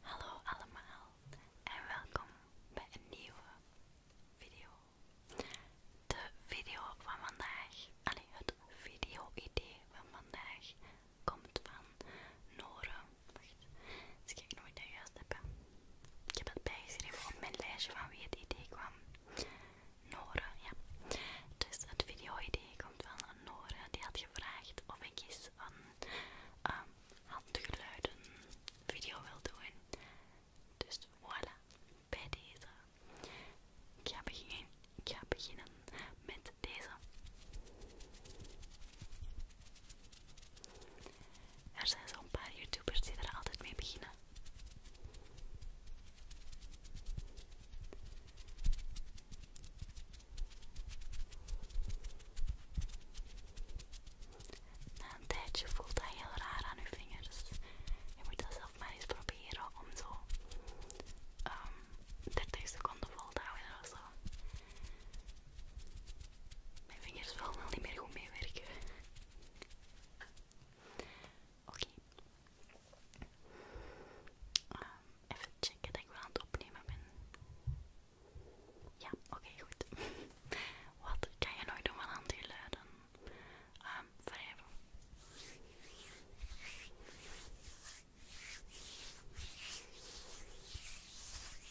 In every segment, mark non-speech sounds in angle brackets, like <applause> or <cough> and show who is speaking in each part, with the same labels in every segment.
Speaker 1: Hallo allemaal en welkom bij een nieuwe video. De video van vandaag, allee, het video-idee van vandaag komt van Nore. Wacht, eens nooit ik dat juist ik heb dat bijgeschreven op mijn lijstje van wie het idee kwam. Nore, ja. Dus het video-idee komt van Nore. Die had gevraagd of ik eens een ehm, handgeluiden video wil doen. Dus voilà, bij deze. Ik ga beginnen, ik ga beginnen met deze. Er zijn zo'n paar YouTubers die daar altijd mee beginnen. Na een tijdje voelt dat heel raar aan uw vingers. Je moet dat zelf maar eens proberen om zo 30 ehm, seconden vol te houden of zo. Mijn vingers willen wel niet meer goed meewerken. Oké, ehm, even checken dat ik wel aan het opnemen ben. Ja, oké, goed. <laughs> Wat kan je nooit doen van aan die luiden? Um,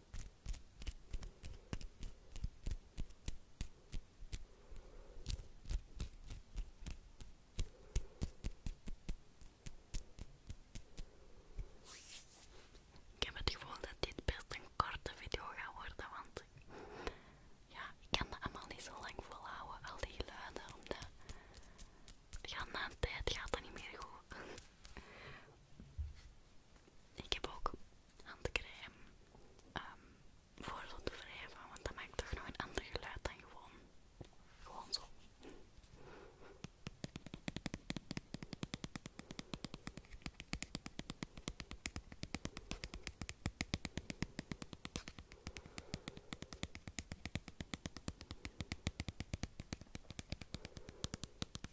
Speaker 1: Ik heb het gevoel dat dit best een korte video gaat worden, want ja, ik kan dat allemaal niet zo lang volhouden, al die geluiden, omdat ja, na een tijd gaat dat niet meer goed ik heb ook handcrème um, ehm, voor zo te wrijven, want dat maakt toch nog een ander geluid dan gewoon, gewoon zo.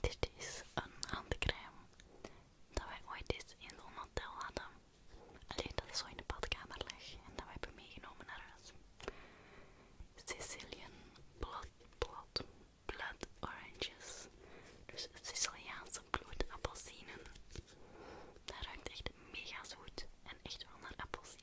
Speaker 1: Dit is een handcrème dat wij ooit eens in een hotel hadden. Alleen dat zo in de badkamer lag en dat we hebben meegenomen naar huis. Sicilian blood, oranges. Dus Siciliaanse bloedappelsinen. Dat ruikt echt mega zoet en echt wel naar appelsien.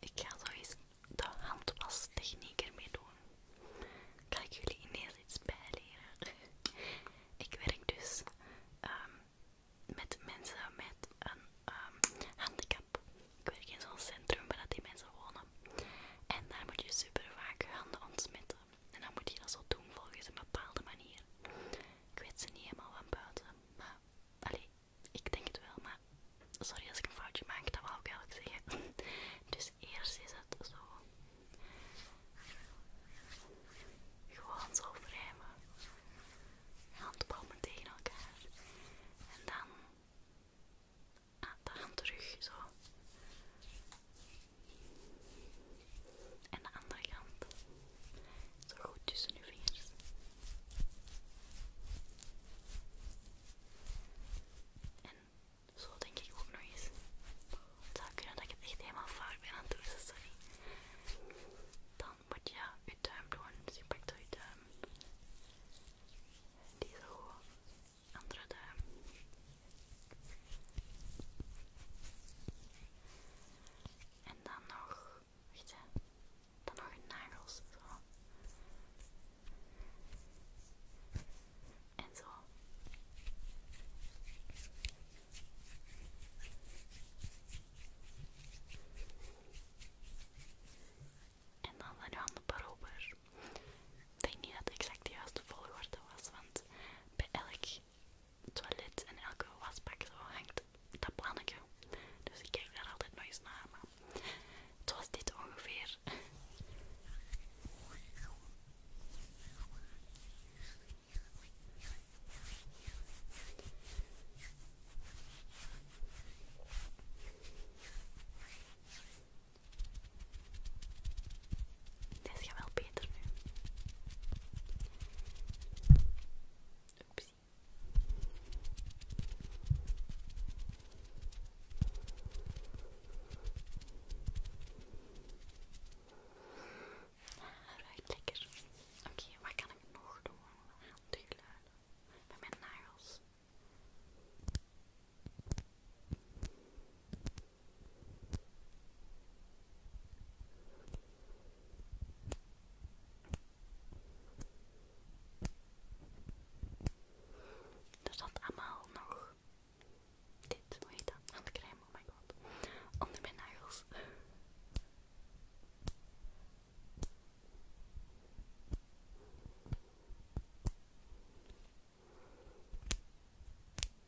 Speaker 1: Ik ga zo eens de handwastechniek ermee doen. Kan ik jullie ineens iets bijleren? Ik werk dus ehm, met mensen met een ehm, handicap. Ik werk in zo'n centrum waar die mensen wonen. En daar moet je super vaak je handen ontsmetten. En dan moet je dat zo doen volgens een bepaalde manier. Ik weet ze niet helemaal van buiten, maar allee, ik denk het wel, maar sorry als ik een foutje maak, dat wou ik eigenlijk zeggen. <laughs> Dus eerst is het zo. Gewoon zo wrijven. meteen tegen elkaar. En dan ah, dan gaan terug zo. En de andere kant. Zo goed tussen uw vingers. En zo denk ik ook nog eens. Het zou kunnen dat ik het echt helemaal fout ben aan het doen, sorry. Dan moet je je duim doen. Dus je pakt je duim. Die zo Andere duim. En dan nog, wacht hè, dan nog nagels, zo. En zo. En dan de handen per Ik denk niet dat het exact de juiste volgorde was, want bij elk toilet en elke wasbak zo hangt dat ik, Dus ik kijk daar altijd nog eens naar. Maar het was dit ongeveer. Dit gaat wel beter nu. Oepsie. Ah, ruikt lekker. Oké, wat kan ik nog doen? Handgeluiden. van mijn nagels. Er zat allemaal nog dit, hoe dan aan de oh my god. Onder mijn nagels.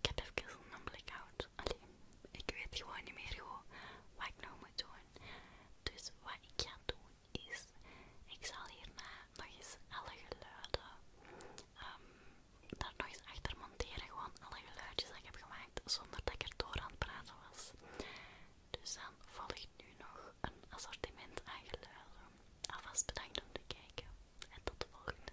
Speaker 1: Ik heb even een blackout. Allee, ik weet gewoon niet meer wat ik nou moet doen. Dus wat ik ga doen is, ik zal hierna nog eens alle geluiden ehm, daar nog eens achter monteren. Gewoon alle geluidjes die ik heb gemaakt zonder dat ik er door aan het praten was. Dus dan volgt nu nog een assortiment aan geluiden. Alvast bedankt om te kijken en tot de volgende.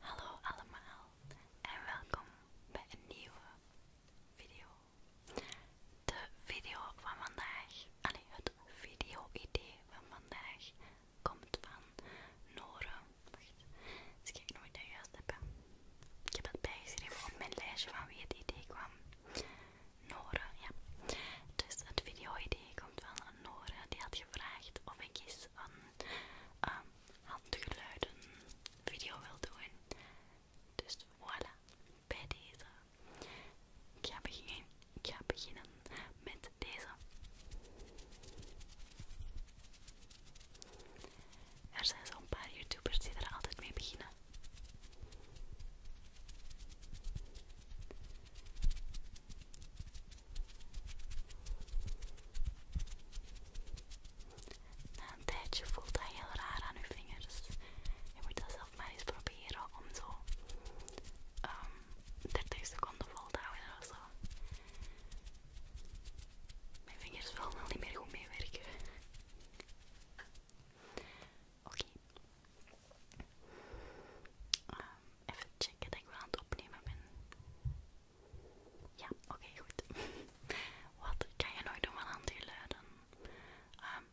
Speaker 1: Hallo allemaal en welkom bij een nieuwe video. De video van vandaag, allee, het video-idee van vandaag komt van Nore. Ik eens nog of ik dat juist hebben. Ik heb het bijgeschreven op mijn lijstje van wie het idee kwam. Nore, ja. Dus het video-idee van Nora, die had gevraagd of ik eens een uh, handgeluiden video wil doen. Dus voilà, bij deze. ga ik ga beginnen met deze. Er zijn zo'n paar YouTubers die er altijd mee beginnen. Na een tijdje voelt dat heel raar aan uw vingers. Je moet dat zelf maar eens proberen om zo 30 ehm, seconden vol te houden zo. Mijn vingers willen niet meer goed meewerken. Oké, Um, even checken dat ik wel aan het opnemen ben. Ja, oké, goed. <laughs> Wat kan je nooit doen aan die luiden? Um,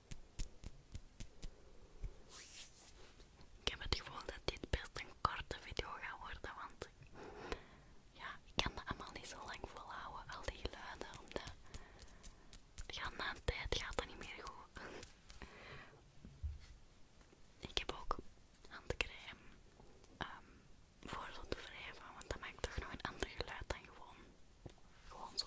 Speaker 1: Ik heb het gevoel dat dit best een korte video gaat worden, want ja, ik kan dat allemaal niet zo lang volhouden, al die geluiden, omdat ja, na een tijd gaat dat niet meer goed. Ik heb ook handcrème um, ehm, voor zo te wrijven, want dat maakt toch nog een ander geluid dan gewoon, gewoon zo.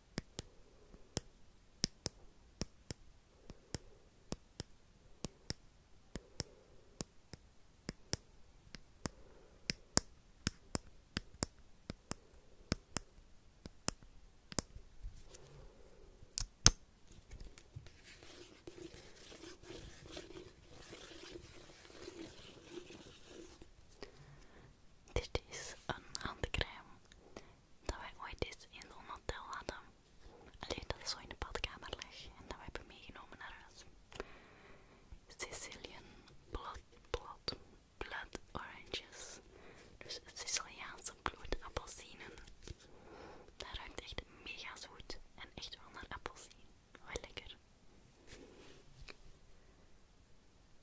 Speaker 1: Dit is een handcrème dat wij ooit eens in een hotel hadden. Alleen dat zo in de badkamer lag en dat we hebben meegenomen naar huis. Sicilian blood, blood, blood oranges. Dus Siciliaanse bloedappelsinen. Dat ruikt echt mega zoet en echt wel naar appelsien. lekker.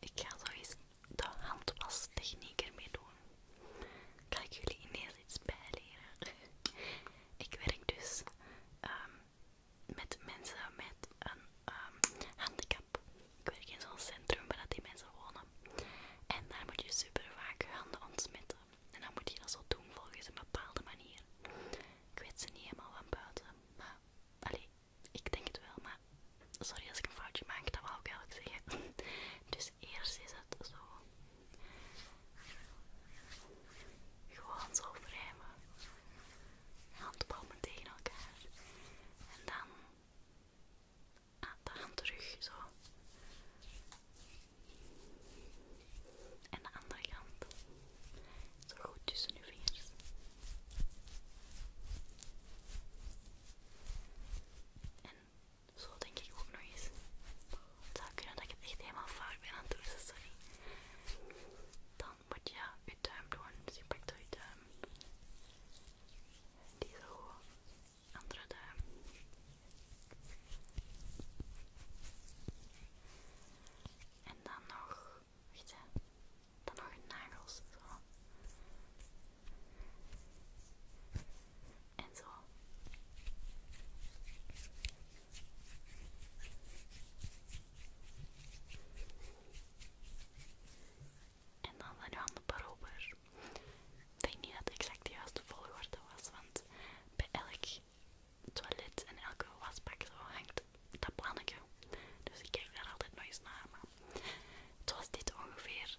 Speaker 1: Ik ga zo de handwastechniek ermee doen. Kan ik jullie ineens iets bijleren? <laughs> ik werk dus um, met mensen met een um, handicap. Ik werk in zo'n centrum waar die mensen wonen. En daar moet je super vaak je handen ontsmetten. En dan moet je dat zo doen volgens een bepaalde manier. Ik weet ze niet helemaal van buiten, maar allee, ik denk het wel, maar sorry als ik een foutje maak, dat wou ik eigenlijk zeggen. <laughs> Dus eerst is het zo. Gewoon zo handen Handpalmen tegen elkaar. En dan aan de hand terug, zo. En de andere kant. Zo goed tussen uw vingers. En zo denk ik ook nog eens. Het zou kunnen dat ik het echt helemaal fout ben aan het doen, dus sorry. Dan moet je je duim doen, dus je pakt door je duim. Die zo, andere duim. En dan nog, wacht je dan nog een nagels. Zo. En zo. En dan naar je handen paar Ik denk niet dat het exact de juiste volgorde was, want bij elk toilet en elke wasbak zo hangt dat plannetje. Dus ik kijk daar altijd nooit naar. Maar het was dit ongeveer.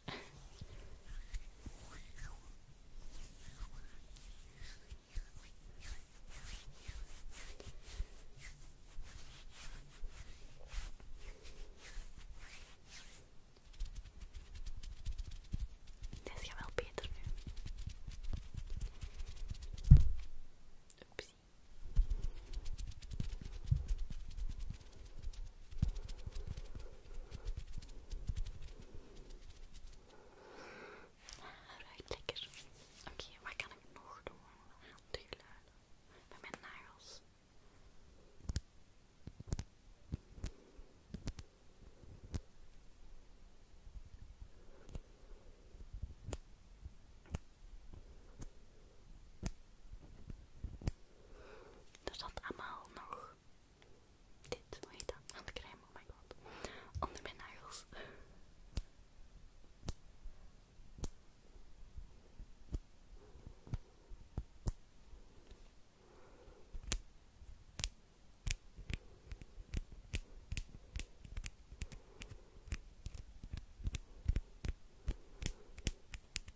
Speaker 1: Dit gaat wel beter nu. Oepsie. Ruikt lekker. Oké, wat kan ik nog doen? Aan de geluiden. mijn nagels. Er zat allemaal nog dit, dan aan dat? Handcrème, oh my god. Onder mijn nagels.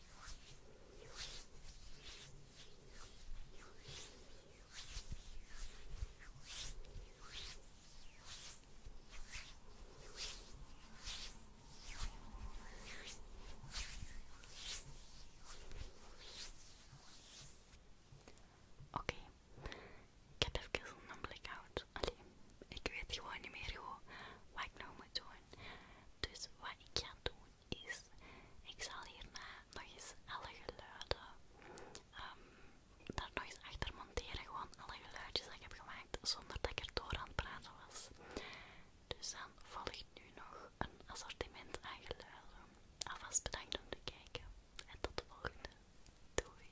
Speaker 1: Oké, okay. ik heb even een blackout. Allee, ik weet gewoon niet meer hoe, wat ik nou moet doen. Dus wat ik ga doen is, ik zal hierna nog eens alle geluiden ehm, daar nog eens achter monteren. Gewoon alle geluidjes dat ik heb gemaakt zonder dat ik er door aan het praten was. Dus dan volgt nu nog een assortiment aan geluiden. Alvast bedankt om te kijken en tot de volgende. Doei!